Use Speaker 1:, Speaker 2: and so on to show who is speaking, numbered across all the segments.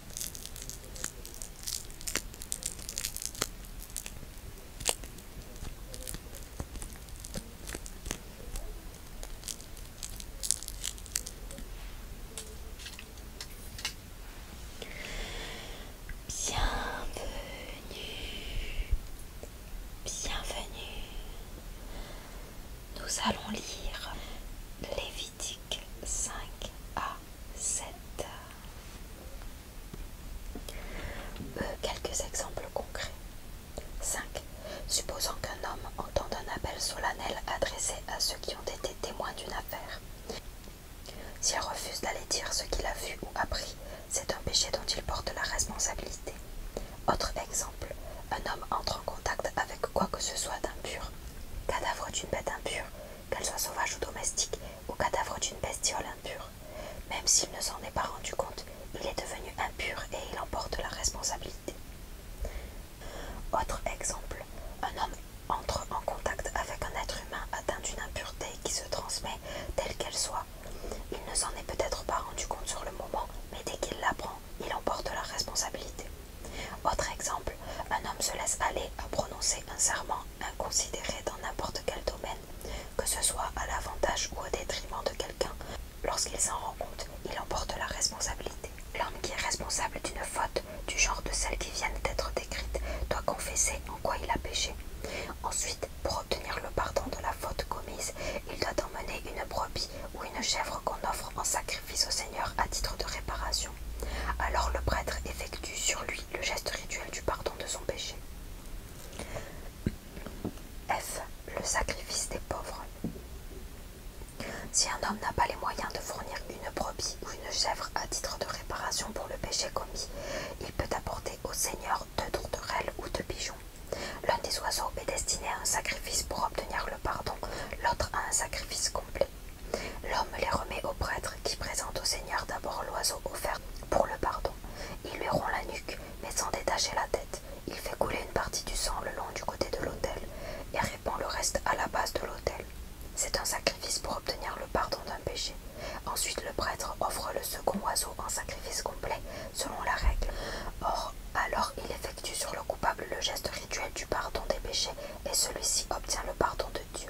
Speaker 1: Bienvenue, bienvenue. Nous allons lire lévis 5 à 7. Euh, quelques exemples concrets. 5. Supposons qu'un homme entend un appel solennel adressé à ceux qui ont été témoins d'une affaire. S'il refuse d'aller dire ce qu'il a vu ou appris, c'est un péché dont il porte la responsabilité. Autre exemple, un homme entre en contact avec quoi que ce soit d'impur, Cadavre d'une bête impure, qu'elle soit sauvage ou domestique, ou cadavre d'une bestiole impure. Même s'il ne s'en est pas rendu compte, il est devenu impur et il en porte la responsabilité. Autre exemple, un homme entre en contact avec un être humain atteint d'une impureté qui se transmet telle qu'elle soit. Il ne s'en est peut-être pas rendu compte sur le moment, mais dès qu'il l'apprend, il en porte la responsabilité. Autre exemple, un homme se laisse aller à prononcer un serment inconsidéré dans n'importe quel domaine, que ce soit à l'avantage ou au détriment de quelqu'un. Lorsqu'il s'en rend compte, il en porte la responsabilité. L'homme qui est responsable d'une faute du genre de celles qui viennent d'être décrites doit confesser en quoi il a péché. Ensuite, pour obtenir le pardon de la faute commise, il doit emmener une brebis ou une chèvre qu'on offre en sacrifice au Seigneur à titre de réparation. Alors le prêtre effectue sur lui le geste rituel du pardon de son péché. F. Le sacrifice des pauvres. Si un homme n'a pas les moyens de fournir une brebis ou une chèvre à titre de réparation pour le péché commis, il peut apporter au Seigneur deux tourterelles ou deux pigeons. L'un des oiseaux est destiné à un sacrifice pour obtenir le pardon, l'autre à un sacrifice complet. L'homme les remet au prêtre qui présente au Seigneur d'abord l'oiseau offert pour le pardon. Il lui rompt la nuque, mais sans détacher la tête. Il fait couler une partie du sang le long du côté de l'autel et répand le reste à la base de l'autel. C'est un sacrifice pour obtenir le pardon d'un péché. Ensuite, le prêtre offre le second oiseau en sacrifice complet, selon la règle. Or, alors il effectue sur le coupable le geste rituel du pardon des péchés et celui-ci obtient le pardon de Dieu.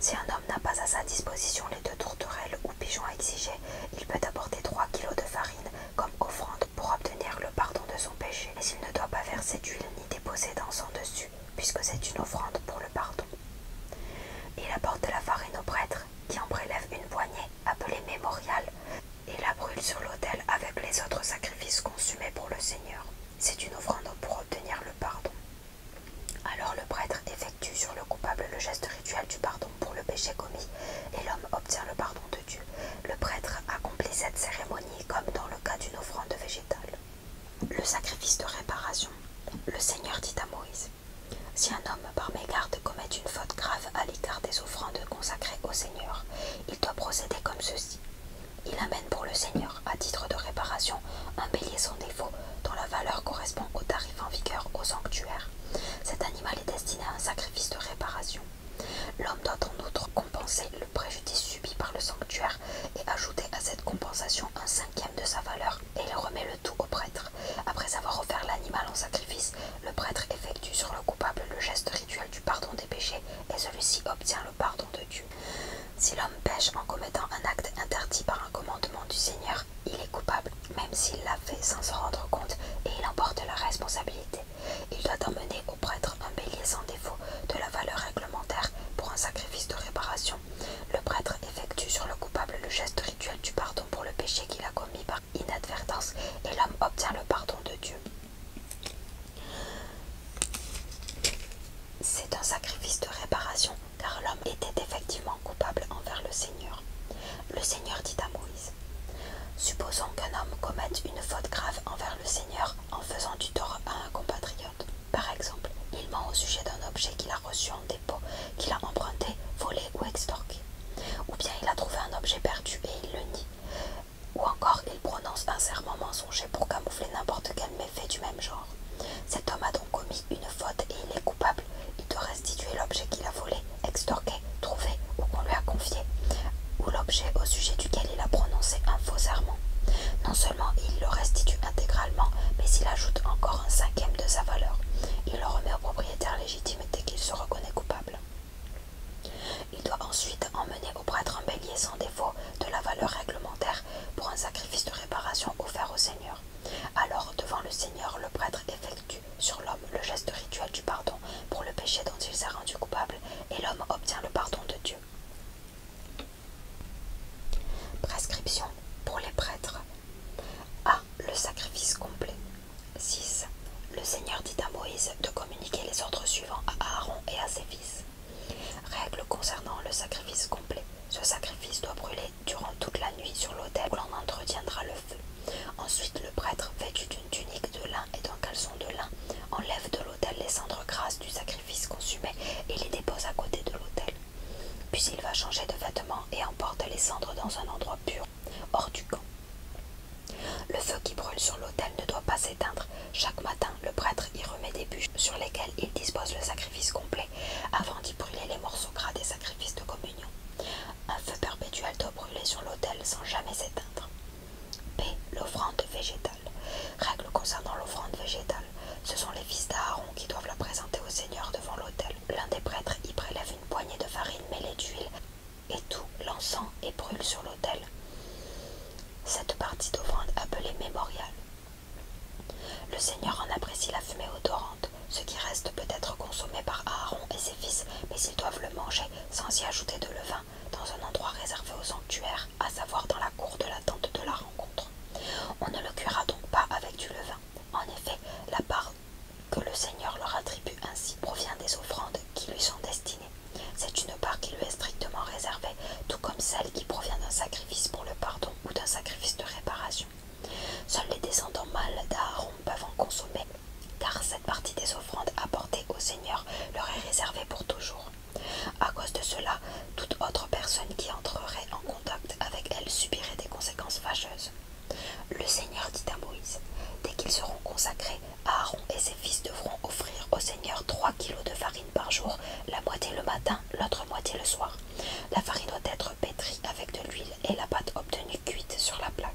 Speaker 1: Si un homme n'a pas à sa disposition les deux tourterelles ou pigeons exigés, il peut apporter 3 kilos de farine comme offrande pour obtenir le pardon de son péché, mais il ne doit pas verser d'huile ni déposer d'encens dessus, puisque c'est une offrande pour le pardon. Il apporte la farine au prêtre, qui en prélève une poignée, appelée mémorial, et la brûle sur l'autel avec les autres sacrifices consumés pour le Seigneur. C'est une offrande pour obtenir le pardon. Alors le prêtre effectue sur le coupable le geste rituel du pardon pour le péché commis et l'homme obtient le pardon de Dieu. Le prêtre accomplit cette cérémonie comme dans le cas d'une offrande végétale. Le sacrifice de réparation. Le Seigneur dit à Moïse Si un homme par mégarde commet une faute grave à l'égard des offrandes consacrées au Seigneur, il doit procéder comme ceci. Il amène pour le seigneur, à titre de réparation, un bélier sans défaut, dont la valeur correspond au tarif en vigueur au sanctuaire. Cet animal est destiné à un sacrifice de réparation. L'homme doit en outre compenser le préjudice subi par le sanctuaire et ajouter à cette compensation un cinquième de sa valeur, et il remet le tout au prêtre. Après avoir offert l'animal en sacrifice, le prêtre effectue sur le coupable le geste rituel pardon des péchés et celui-ci obtient le pardon de Dieu. Si l'homme pèche en commettant un acte interdit par un commandement du Seigneur, il est coupable, même s'il l'a fait sans s'en rendre compte, et il en porte la responsabilité. Il doit emmener au prêtre un bélier sans défaut de la valeur réglementaire pour un sacrifice de réparation. Le prêtre effectue sur le coupable le geste rituel du pardon pour le péché qu'il a commis par inadvertance, et l'homme obtient le pardon de Dieu. C'est un sacrifice de réparation, car l'homme était effectivement coupable envers le Seigneur. Le Seigneur dit à Moïse Supposons qu'un homme commette une faute grave envers le Seigneur en faisant du tort à un compatriote. Par exemple, il ment au sujet d'un objet qu'il a reçu en dépôt, qu'il a emprunté, volé ou extorqué. Ou bien il a trouvé un objet perdu et il le nie. Ou encore, il prononce un serment mensonger pour camoufler n'importe quel méfait du même genre. Cet homme a donc commis une faute et il est coupable. Il doit restituer l'objet qu'il a volé, extorqué, trouvé ou qu'on lui a confié, ou l'objet au sujet duquel il a prononcé un faux serment. Non seulement il le restitue intégralement, mais il ajoute encore un cinquième de sa valeur. Il le remet au propriétaire légitime dès qu'il se reconnaît coupable. Il doit ensuite emmener au prêtre un bélier sans défaut de la valeur réglementaire pour un sacrifice de réparation offert au Seigneur. Alors, devant le Seigneur, le prêtre effectue sur l'homme le geste rituel du pardon pour le péché dont il s'est rendu coupable et l'homme obtient le pardon de Dieu. Prescription pour les prêtres. A. Le sacrifice complet. 6. Le Seigneur dit à Moïse de communiquer les ordres suivants à Aaron et à ses fils. Règle concernant le sacrifice complet. Ce sacrifice doit brûler durant toute la nuit sur l'autel où l'on entretiendra le feu. Ensuite, le prêtre, vêtu d'une tunique de lin et d'un caleçon de lin, enlève de l'autel les cendres grasses du sacrifice consumé et les dépose à côté de l'autel. Puis il va changer de vêtements et emporte les cendres dans un endroit pur, hors du camp. Le feu qui brûle sur l'autel ne doit pas s'éteindre. Chaque matin, le prêtre y remet des bûches sur lesquelles il dispose le sacrifice complet avant d'y brûler les morceaux gras des sacrifices de communion. Un feu perpétuel doit brûler sur l'autel sans jamais s'éteindre. P. L'offrande végétale. Règle concernant l'offrande végétale. Ce sont les fils d'Aaron qui doivent la présenter au Seigneur devant l'autel. L'un des prêtres y prélève une poignée de farine mêlée d'huile et tout l'encens et brûle sur l'autel. Cette partie d'offrande appelée mémorial. Le Seigneur en apprécie la fumée odorante, ce qui reste peut être consommé par Aaron et ses fils, mais ils doivent le manger sans y ajouter de levain dans un endroit réservé au sanctuaire, à savoir dans la cour de l'attente de la rencontre. On ne le cuira donc pas avec du levain. En effet, la part que le Seigneur leur attribue ainsi provient des offrandes qui lui sont destinées c'est une part qui lui est strictement réservée, tout comme celle qui provient d'un sacrifice pour le pardon ou d'un sacrifice de réparation. Seuls les descendants mâles d'Aaron peuvent en consommer, car cette partie des offrandes apportées au Seigneur leur est réservée pour toujours. À cause de cela, toute autre personne qui entrerait en contact avec elle subirait des conséquences fâcheuses. Le Seigneur dit à Moïse Dès qu'ils seront consacrés, Aaron et ses fils devront offrir au Seigneur trois kilos de farine par jour, la moitié le matin, l'autre moitié le soir. La farine doit être pétrie avec de l'huile et la pâte obtenue cuite sur la plaque.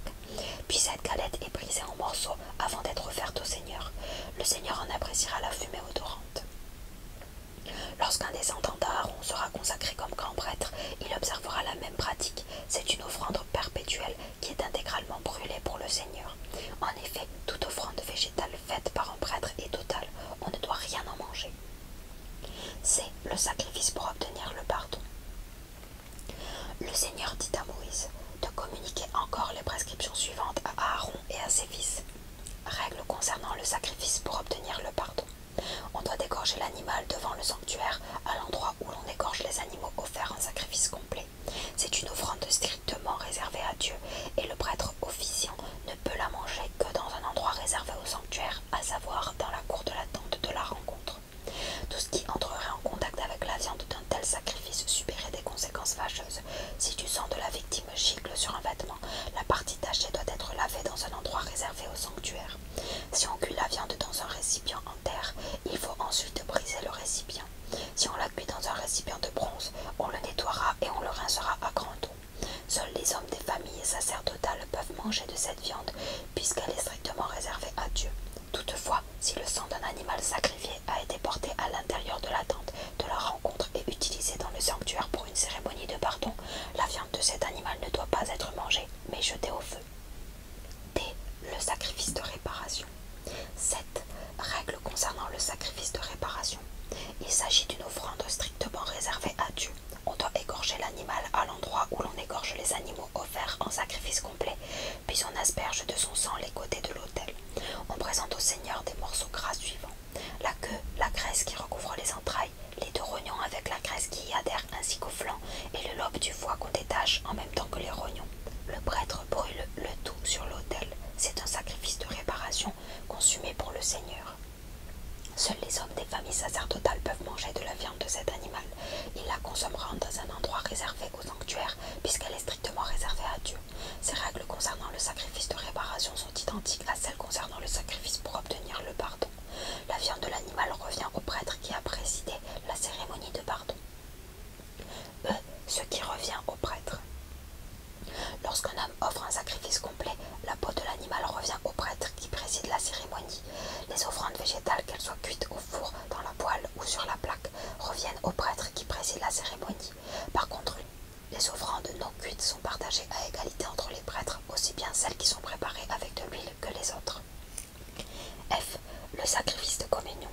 Speaker 1: Puis cette galette est brisée en morceaux avant d'être offerte au Seigneur. Le Seigneur en appréciera la fumée odorante. Lorsqu'un descendant d'Aaron sera consacré comme grand prêtre, il observera la même pratique. C'est une offrande perpétuelle qui est intégralement brûlé pour le Seigneur. En effet, toute offrande végétale faite par un prêtre est totale, on ne doit rien en manger. C'est le sacrifice pour obtenir le pardon. Le Seigneur dit à Moïse de communiquer encore les prescriptions suivantes à Aaron et à ses fils. Règles concernant le sacrifice pour obtenir le pardon. On doit dégorger l'animal devant le sanctuaire à l'endroit où l'on égorge les animaux offerts en sacrifice complet. C'est une offrande strictement réservée à Dieu et le prêtre officiant ne peut la manger que dans un endroit réservé au sanctuaire, à savoir dans la cour de l'attente de la rencontre. Tout ce qui entrerait en contact avec la viande d'un tel sacrifice subirait des conséquences fâcheuses. Si du sang de la victime gicle sur un vêtement, la partie tachée doit être lavée dans un endroit réservé au sanctuaire. Si on cuit la viande dans un récipient en terre, il faut ensuite briser le récipient si on la dans un récipient de bronze, on le nettoiera et on le rincera à grand eau. Seuls les hommes des familles sacerdotales peuvent manger de cette viande, puisqu'elle est strictement réservée à Dieu. Toutefois, si le sang d'un animal sacrifié a été porté à l'intérieur de la tente de la rencontre et utilisé dans le sanctuaire pour une cérémonie de pardon, la viande de cet animal ne doit pas être mangée, mais jetée au feu. D. Le sacrifice de réparation. 7. Règles concernant le sacrifice de réparation. Il s'agit d'une offrande strictement réservée à Dieu. On doit égorger l'animal à l'endroit où l'on égorge les animaux offerts en sacrifice complet, puis on asperge de son sang les côtés de l'autel. On présente au Seigneur des morceaux gras suivants la queue, la graisse qui recouvre les entrailles, les deux rognons avec la graisse qui y adhère ainsi qu'au flanc, et le lobe du foie qu'on détache en même temps que les rognons. Le prêtre brûle le tout sur l'autel. C'est un sacrifice de réparation consumé pour le Seigneur. Seuls les hommes des familles sacerdotales peuvent manger de la viande de cet animal. Ils la consommeront dans un endroit réservé au sanctuaire, puisqu'elle est strictement réservée à Dieu. Ces règles concernant le sacrifice de réparation sont identiques à celles concernant le sacrifice pour obtenir le pardon. La viande de l'animal revient au prêtre qui a présidé la cérémonie de pardon. E. Ce qui revient au prêtre. Lorsqu'un homme offre un sacrifice complet, la peau de l'animal revient au prêtre qui préside la cérémonie. Les offrandes végétales, qu'elles soient cuites au four, dans la poêle ou sur la plaque, reviennent au prêtre qui préside la cérémonie. Par contre, les offrandes non cuites sont partagées à égalité entre les prêtres, aussi bien celles qui sont préparées avec de l'huile que les autres. F. Le sacrifice de communion.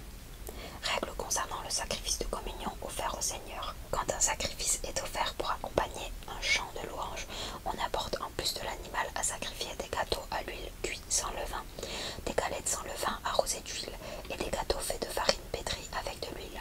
Speaker 1: Règle concernant le sacrifice de communion offert au Seigneur. Quand un sacrifice est offert pour accompagner un chant de louange, on apporte en plus de l'animal à sacrifier des gâteaux à l'huile cuits sans levain, des galettes sans levain arrosées d'huile et des gâteaux faits de farine pétrie avec de l'huile.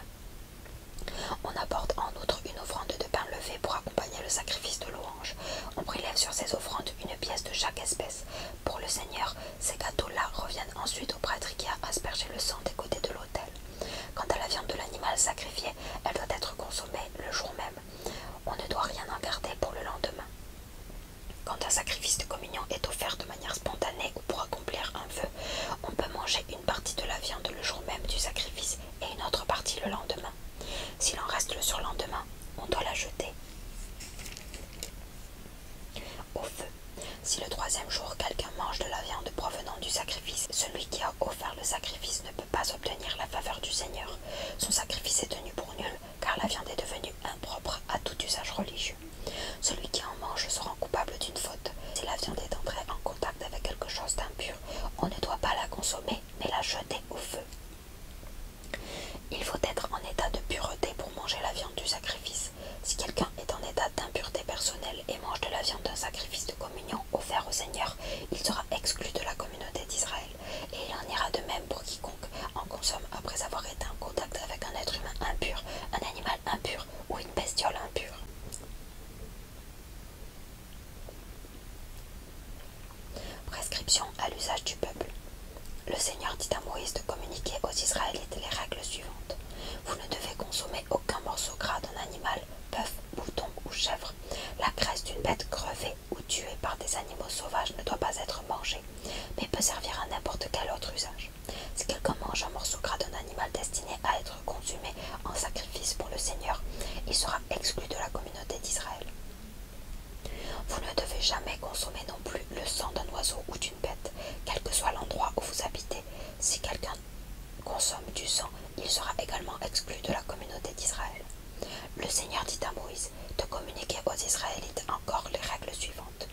Speaker 1: On apporte en outre une offrande de pain levé pour accompagner le sacrifice de louange. On prélève sur ces offrandes une pièce de chaque espèce. Pour le Seigneur, ces gâteaux-là reviennent ensuite au prêtre qui a aspergé le sang des côtés de l'autel. Quant à la viande de l'animal sacrifié, elle doit être consommée le jour même. On ne doit rien en garder pour le lendemain. Quand un sacrifice de communion est offert de manière spontanée ou pour accomplir un feu on peut manger une partie de la viande le jour même du sacrifice et une autre partie le lendemain. S'il en reste le surlendemain, on doit la jeter. Au feu. Si le troisième jour quelqu'un mange de la viande provenant du sacrifice, celui qui a offert le sacrifice ne peut pas obtenir la faveur du Seigneur. Son sacrifice est tenu pour nul, car la viande est devenue impropre à tout usage religieux. Celui qui en mange se rend coupable d'une faute. Si la viande est entrée en contact avec quelque chose d'impur, on ne doit pas la consommer, mais la jeter au feu. Il faut être en état de pureté pour manger la viande du sacrifice. Si quelqu'un est en état d'impureté personnelle et mange de la viande d'un sacrifice de communion offert au Seigneur, il sera exclu de la communauté d'Israël. Et il en ira de même pour quiconque en consomme après avoir été en contact avec un être humain impur, un animal impur ou une bestiole impure. Prescription à l'usage du peuple. Le Seigneur dit à Moïse de communiquer aux Israélites les règles suivantes. Vous ne devez consommer aucun morceau gras d'un animal, bœuf, mouton ou chèvre. La graisse d'une bête crevée ou tuée par des animaux sauvages ne doit pas être mangée, mais peut servir à n'importe quel autre usage. Si quelqu'un mange un morceau gras d'un animal destiné à être consumé en sacrifice pour le Seigneur, il sera exclu de la communauté d'Israël. Vous ne devez jamais consommer non plus le sang d'un oiseau ou d'une bête, quel que soit l'endroit où vous habitez. Si quelqu'un consomme du sang, il sera également exclu de la communauté d'Israël. Le Seigneur dit à Moïse de communiquer aux Israélites encore les règles suivantes.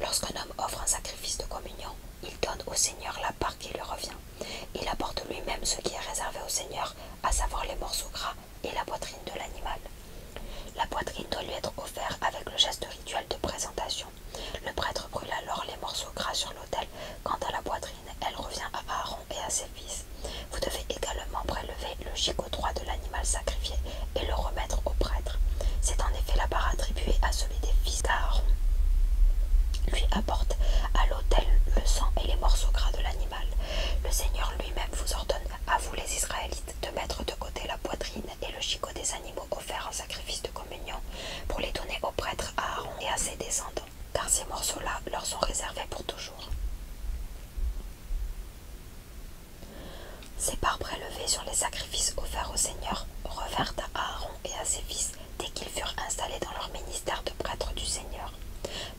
Speaker 1: Lorsqu'un homme offre un sacrifice de communion, il donne au Seigneur la part qui lui revient. Il apporte lui-même ce qui est réservé au Seigneur, à savoir les morceaux gras et la poitrine de l'animal. La poitrine doit lui être offerte avec le geste rituel de présentation. Le prêtre brûle alors les morceaux gras sur l'autel. Quant à la poitrine, elle revient à Aaron et à ses fils. Vous devez également prélever le chicot droit de l'animal sacrifié et le remettre au prêtre. C'est en effet la part attribuée à celui des fils d'Aaron. Lui apporte à l'autel le sang et les morceaux gras de l'animal. Le Seigneur lui-même vous ordonne a vous les Israélites de mettre de côté la poitrine et le chicot des animaux offerts en sacrifice de communion pour les donner aux prêtres à Aaron et à ses descendants, car ces morceaux-là leur sont réservés pour toujours. Ces parts prélevées sur les sacrifices offerts au Seigneur revinrent à Aaron et à ses fils dès qu'ils furent installés dans leur ministère de prêtres du Seigneur.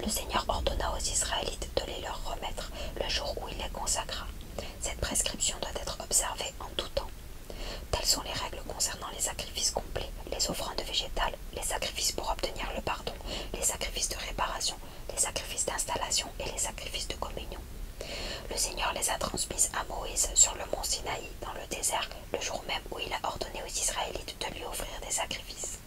Speaker 1: Le Seigneur ordonna aux Israélites de les leur remettre le jour où il les consacra. Cette prescription doit être observée en tout temps. Telles sont les règles concernant les sacrifices complets, les offrandes végétales, les sacrifices pour obtenir le pardon, les sacrifices de réparation, les sacrifices d'installation et les sacrifices de communion. Le Seigneur les a transmises à Moïse sur le mont Sinaï, dans le désert, le jour même où il a ordonné aux Israélites de lui offrir des sacrifices.